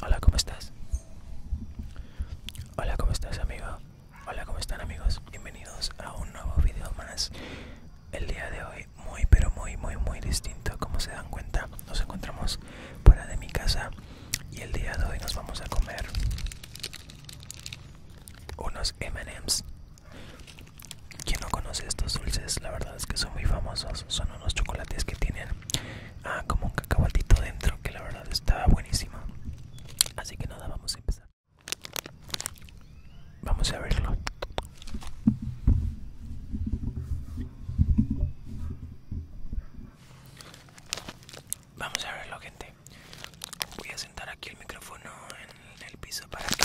Hola, ¿cómo estás? Hola, ¿cómo estás, amigo? Hola, ¿cómo están, amigos? Bienvenidos a un nuevo video más. El día de hoy, muy, pero muy, muy, muy distinto. Como se dan cuenta, nos encontramos fuera de mi casa y el día de hoy nos vamos a comer unos MMs quien no conoce estos dulces, la verdad es que son muy famosos. Son unos chocolates que tienen ah, como un cacahuatito dentro, que la verdad está buenísimo. Así que nada, vamos a empezar. Vamos a verlo. Vamos a verlo, gente. Voy a sentar aquí el micrófono en el piso para que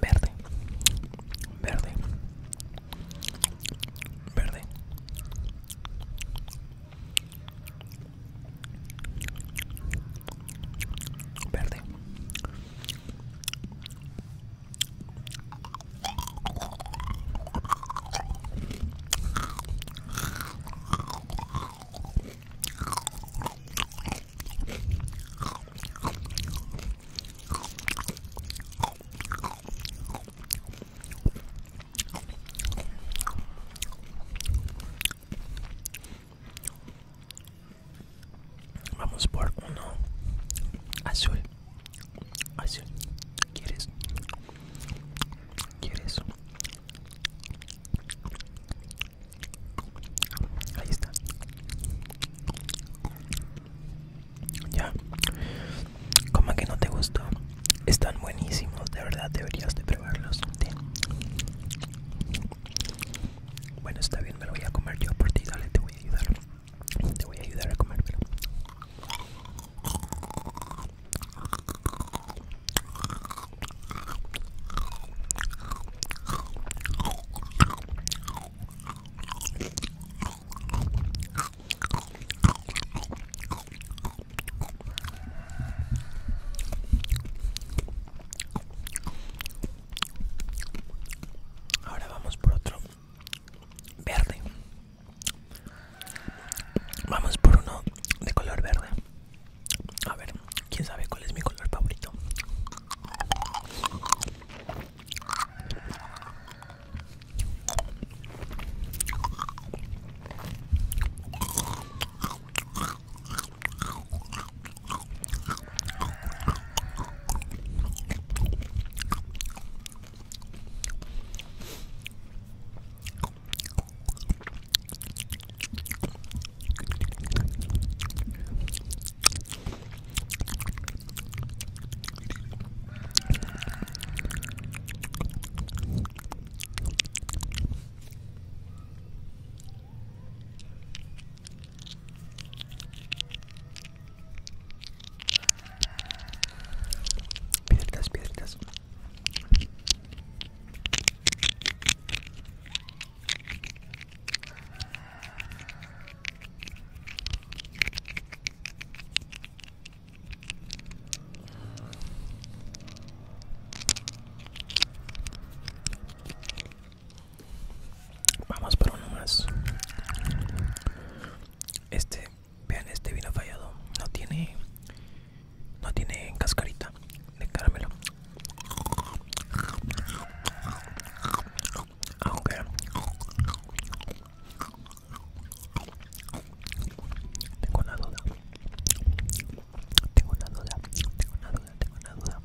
Verde, verde, verde. Verde. Vamos por uno azul. Azul. ¿Quieres? ¿Quieres? Ahí está. Ya. Como que no te gustó. Están buenísimos, de verdad deberías de probarlos. Bueno, está bien, me lo voy a comer yo por ti. Dale, te voy a ayudar. Te voy a ayudar a comérmelo. Ahora vamos por otro verde. Vamos por uno de color verde. A ver, quién sabe cuál es mi color favorito. Piedritas, piedritas. Vamos por uno más. Este, vean este vino fallado. No tiene, no tiene cascarita de caramelo. Aunque tengo una duda, tengo una duda, tengo una duda, tengo una duda.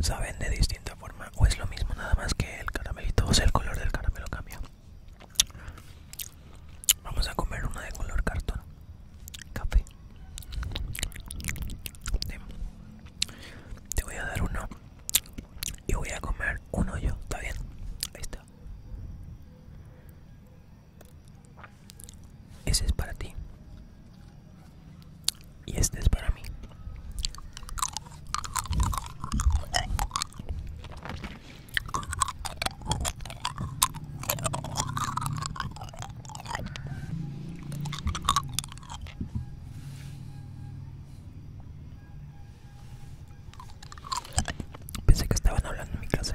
Saben de distinta forma o es lo mismo nada más que el caramelito, o sea el color del caramelo cambia. Vamos a comer una de color cartón. Café. Te voy a dar uno. Y voy a comer uno yo. ¿Está bien? Ahí está. Ese es para ti. Y este es para mí. Pensé que estaban hablando en mi clase.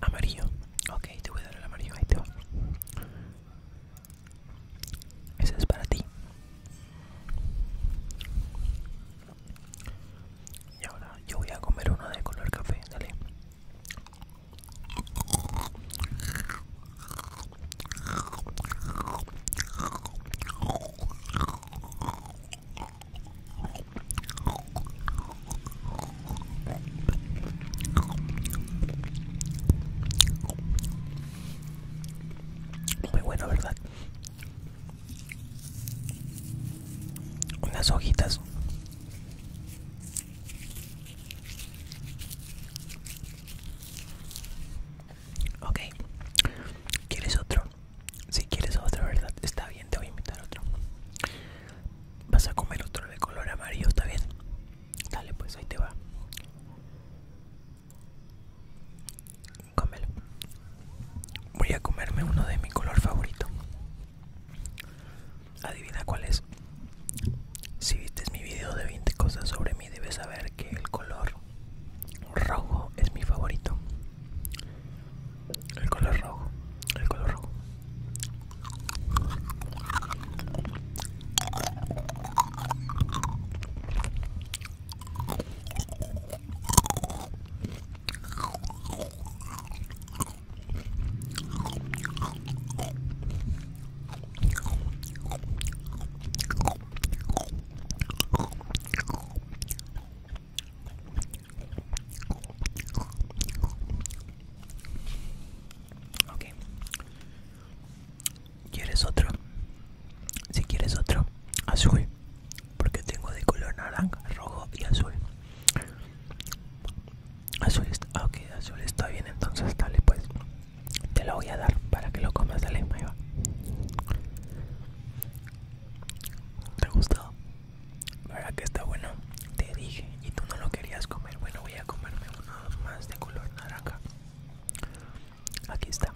Amarillo. Ok, te voy a dar el amarillo. Ahí te Ese es para ti. Y ahora yo voy a comer uno de color café. Dale. Muy bueno, ¿verdad? Unas hojitas. Ok. ¿Quieres otro? Si quieres otro, ¿verdad? Está bien, te voy a invitar otro. Vas a comer otro de color amarillo, ¿está bien? Dale, pues ahí te va. Cómelo. Voy a comerme uno de mi color favorito. Adivina cuál es. Si viste mi video de 20 cosas sobre mí, debes saber que el color rojo es mi favorito el color rojo, el color rojo. Ok. ¿Quieres otro? Si quieres otro, azul. Porque tengo de color naranja, rojo y azul. Azul está, ah, azul está bien, entonces dale pues. Te lo voy a dar para que lo comas, dale, la misma ¿Te gustó? para que está bueno. Te dije, y tú no lo querías comer. Bueno, voy a comerme uno más de color naranja. Aquí está.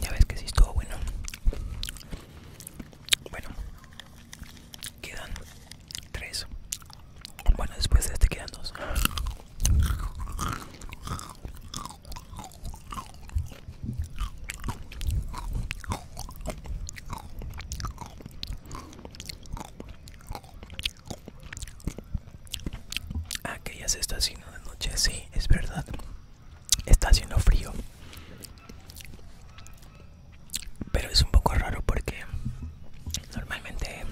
Ya ves que sí estuvo bueno. Bueno, Quedan tres. Bueno, después de este quedan dos. Ah, ya se está haciendo de noche, sí, es verdad. Está haciendo frío pero es un poco raro porque normalmente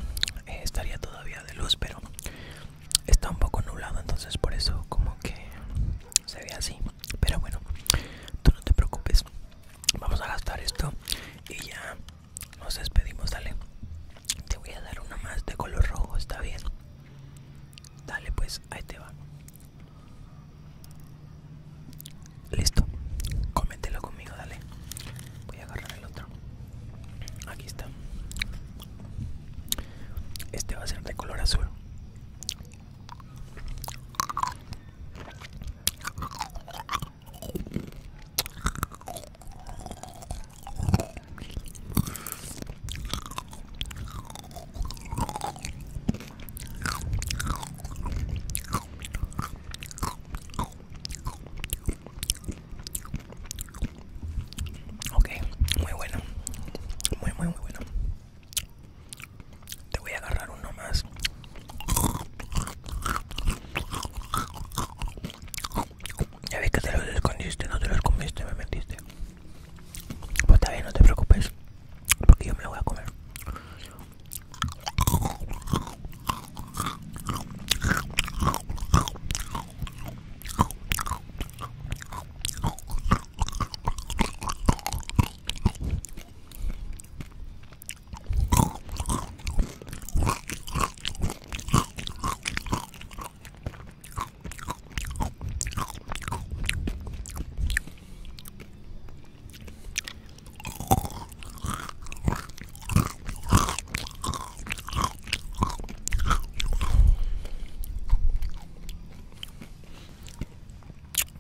eh, estaría todavía de luz pero está un poco nublado entonces por eso como que se ve así pero bueno tú no te preocupes vamos a gastar esto y ya nos despedimos dale te voy a dar una más de color rojo está bien dale pues ahí te va Listo, coméntelo conmigo, dale. Voy a agarrar el otro. Aquí está. Este va a ser de color azul. Ok, muy bueno. Muy, muy, muy bueno. Te voy a agarrar uno más. Ya vi que te lo escondiste, no te lo escondiste, me metiste. Pues también no te preocupes, porque yo me lo voy a comer.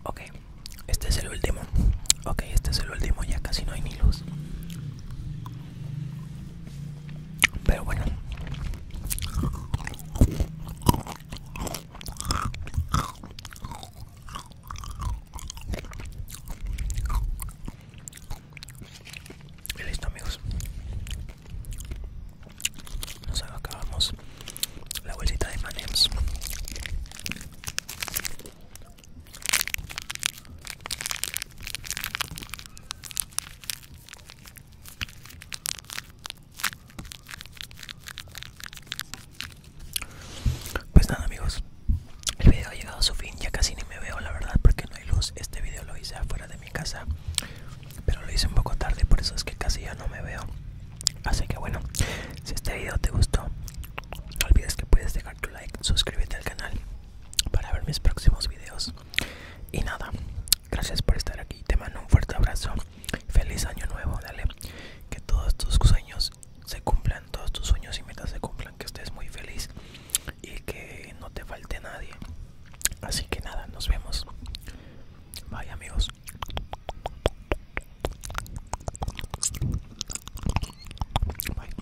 Ok, este es el último. Ok, este es el último, ya casi no hay ni luz. Pero bueno. Y listo amigos Nos acabamos la bolsita de Manems pues nada amigos, el video ha llegado a su fin, ya casi ni me veo la verdad porque no hay luz, este video lo hice afuera de mi casa, pero lo hice un poco tarde, por eso es que casi ya no me veo. Así que bueno, si este video te gustó, no olvides que puedes dejar tu like, suscríbete al canal para ver mis próximos videos. Y nada, Gracias por estar aquí. Te mando un fuerte abrazo. Feliz año nuevo, dale. Que todos tus sueños se cumplan, todos tus sueños y metas se cumplan, que estés muy feliz y que no te falte nadie. Así que nada, nos vemos. Bye amigos. Bye.